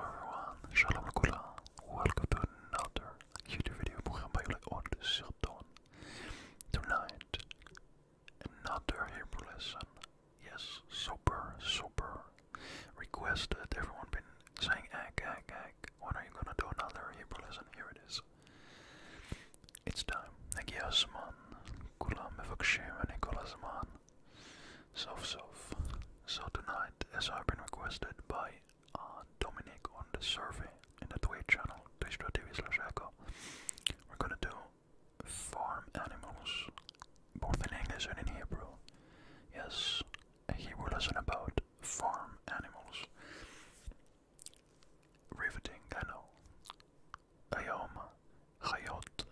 everyone, shalom Kula. Welcome to another YouTube video programmed by jullie on Sirton. Tonight, another Hebrew lesson. Yes, super, super requested. Everyone been saying, egg, egg, egg. When are you gonna do another Hebrew lesson? Here it is. It's time. Nagia Kula Mevakshem and Nikola Zaman. So so. So tonight, as I've been requested by uh, Dominic on the survey in the Twitch channel, twitch.tv slash echo, we're gonna do farm animals, both in English and in Hebrew. Yes, a Hebrew lesson about farm animals. Riveting, I know. Ayom, hayot.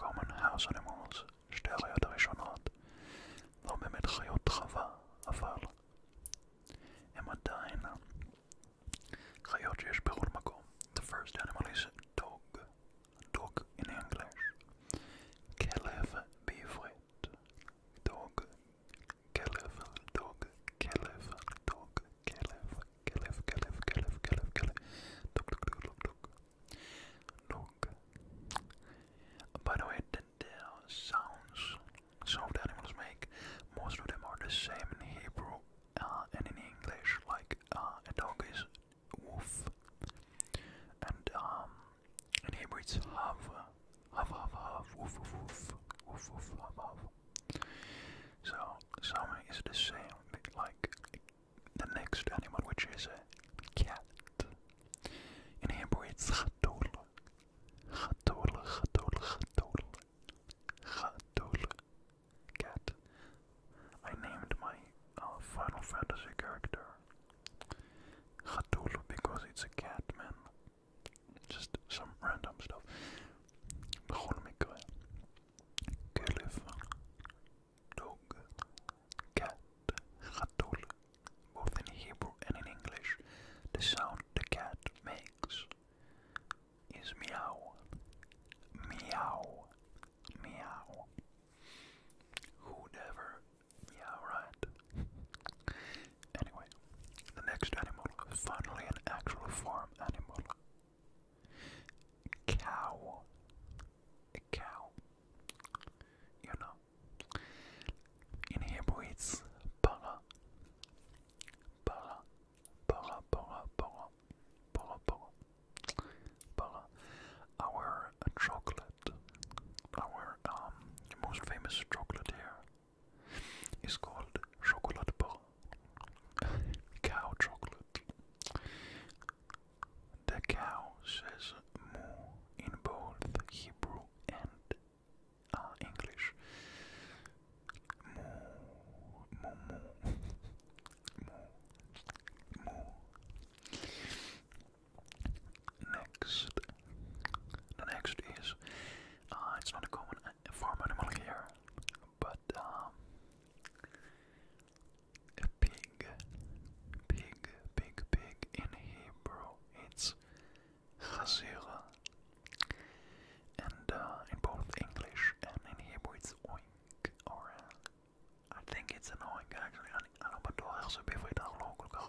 common house animals שתי החיות הראשונות לא באמת חיות חווה, אבל הם עדיין חיות שיש בכל מקום. The first animal is dog, dog in English, כלב בעברית, dog, כלב, dog, כלב, dog, כלב, כלב, כלב, כלב, כלב, כלב, דוג, דוג, דוג, דוג, Look. By the way, the, uh, sounds some of the animals make, most of them are the same in Hebrew uh, and in English, like uh, a dog is woof, and um, in Hebrew it's hav, hav, hav, hav, woof, woof, woof, woof, hav, hav. So, some is the same, like the next animal, which is a cat. In Hebrew, it's Chatul. Chatul, Chatul, Chatul. Chatul. Cat. I named my uh, Final Fantasy character Chatul because it's a cat, man. Just some random stuff. Bechol mikveh. Kelef dog, cat, chatol, both in Hebrew and in English. The sound the cat makes is meow, meow, meow. who meow, right? anyway, the next animal is finally an actual farm animal. Cow. cow. You know. In Hebrew it's para. Para. Para, para, para. Para, para. Para. Our chocolate. Our um, most famous chocolate here is called chocolate bar. Cow chocolate. The cow says moo in both Hebrew and uh, English. Moo, moo, moo, moo, moo. Next, the next is uh, it's not a common uh, farm animal here, but um, a pig, pig, pig, pig in Hebrew. It's chazira, and uh, in both English and in Hebrew it's oink. Or uh, I think it's an oink actually. אני לא בטוח איך זה בעברית, אנחנו לא כל כך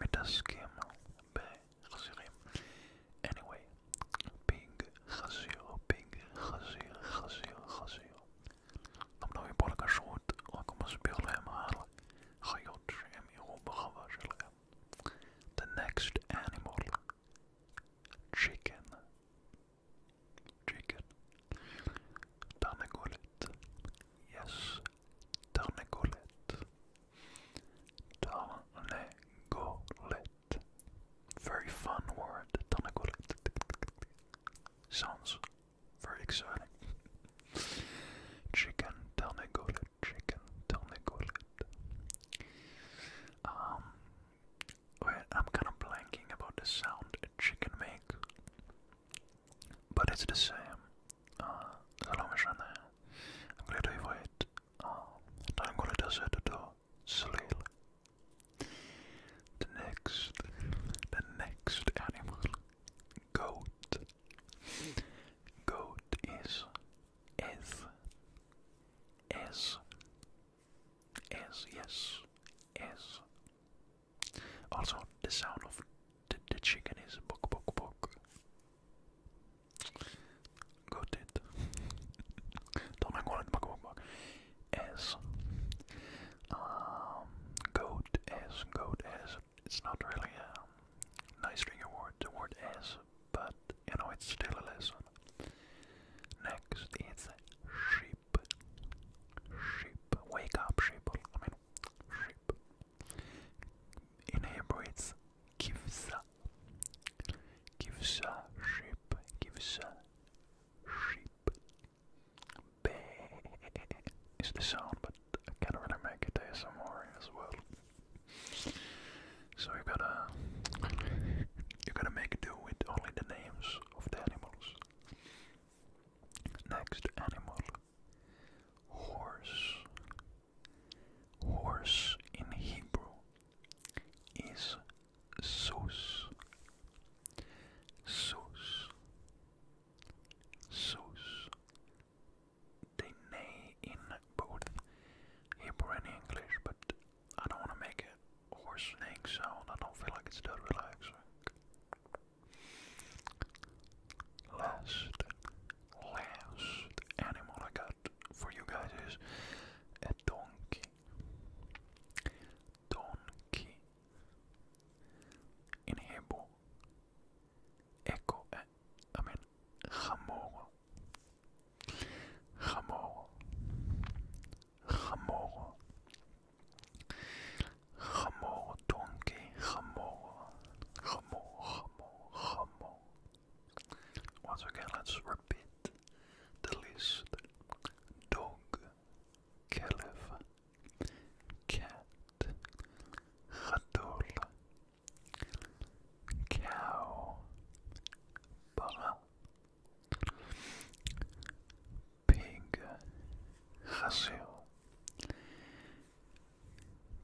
מתעסקים בחזירים. Anyway, pig, חזיר, big gezien, gezien, gezien. Omdat je borka schoot, ook om een speelhem halen, gejots en je open The next animal, chicken. Chicken. Tarnagolet. Yes. Tarnagolet. Tarnagolet. Very fun word, Tanakot. Sounds very exciting. Chicken Tanakot, chicken Tanakot. Um, I'm kind of blanking about the sound a chicken makes, but it's the same. Uh, I'm glad I wait. Uh, Tanakot does it though not sleep. The next, the next animal, goat. Goat is S. S. S. Yes. S. Also, the sound of the, the chicken is bok bok bok. Got it. Don't make one bok bok bok as um, goat as goat as it's not really a nice ring award the word as but you know it's still a lesson next is sheep sheep wake up sheep I mean sheep in Hebrew it's kivsa kivsa sheep kivsa sheep. Baa is the sound, but I can't really make it ASMR as well. So you gotta, you gotta make do with only the names of the animals. Next animal, horse. Horse in Hebrew is sauce, sauce, sauce. They nay in both Hebrew and English, but I don't want to make a horse snake sound. I don't feel like it's that relaxing. Last, last animal I got for you guys is a donkey. Donkey. In echo, eh, I mean, hamor. Hamor. donkey, hamor. Hamor, hamor, hamor. Once again, let's repeat the list dog, calf, cat, rattle, cow, para, pig, hazel,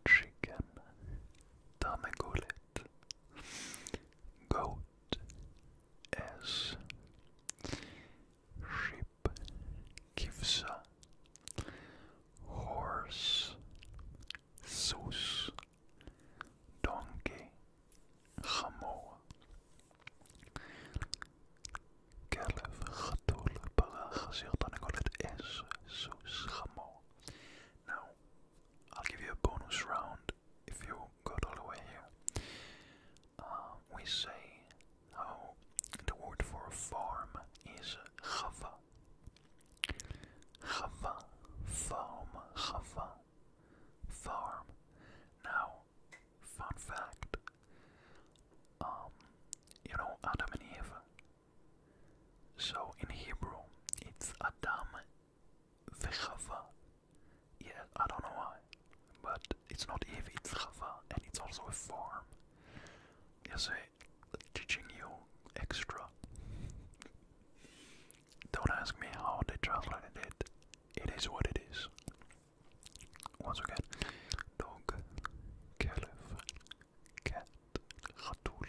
chicken, tamagole, goat as sheep, kivsa, horse, soos, donkey, chamoa. כלב, חתול, פרה, חזיר, תרנגולת, עז, סוס, חמור. Now, I'll give you a bonus round if you got all the way here. Um, we say how the word for farm is chava. Chava, farm, chava, farm. Now, fun fact. Um, you know Adam and Eve. So in Hebrew, it's Adam v'Chava. Yeah, I don't know why. But it's not Eevee, it's Java, and it's also a farm. You see, eh, teaching you extra. Don't ask me how they translated it. It is what it is. Once again, dog, caliph, cat, khatul,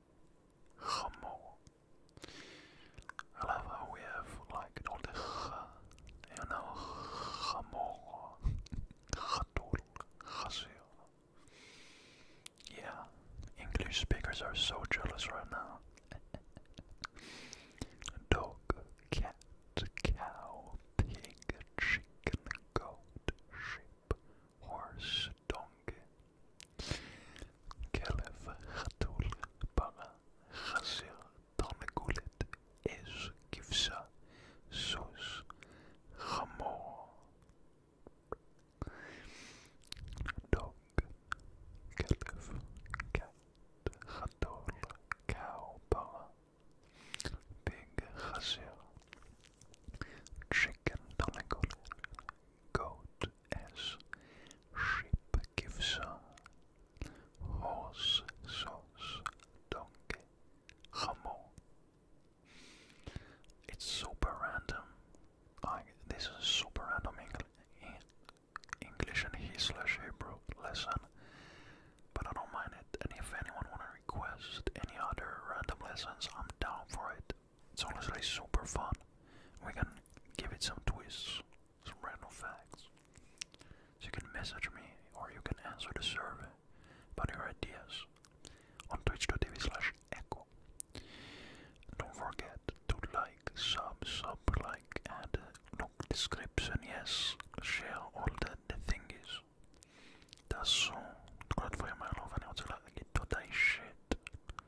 Humble. I we have like all the you know, humble, Yeah, English speakers are so jealous right now. Dog, cat, cow, pig, chicken, goat, sheep, horse, donkey, כלב חתול פרה חזיר תרנגולת אש כבשה סוס חמור dog כלב cat חתול cow פרה pig חזיר chicken תרנגולת goat it's super random. this is super random Engl English and he slash Hebrew lesson, but I don't mind it. And if anyone wants to request any other random lessons, I'm down for it. It's honestly super fun. We can give it some twists, some random facts. So you can message me or you can answer the survey about your ideas on twitch.tv slash echo. Don't forget to like, sub, sub, like, and uh, look description, yes, share all the, the thingies. That's so. Glad for my love I would like to get to that shit.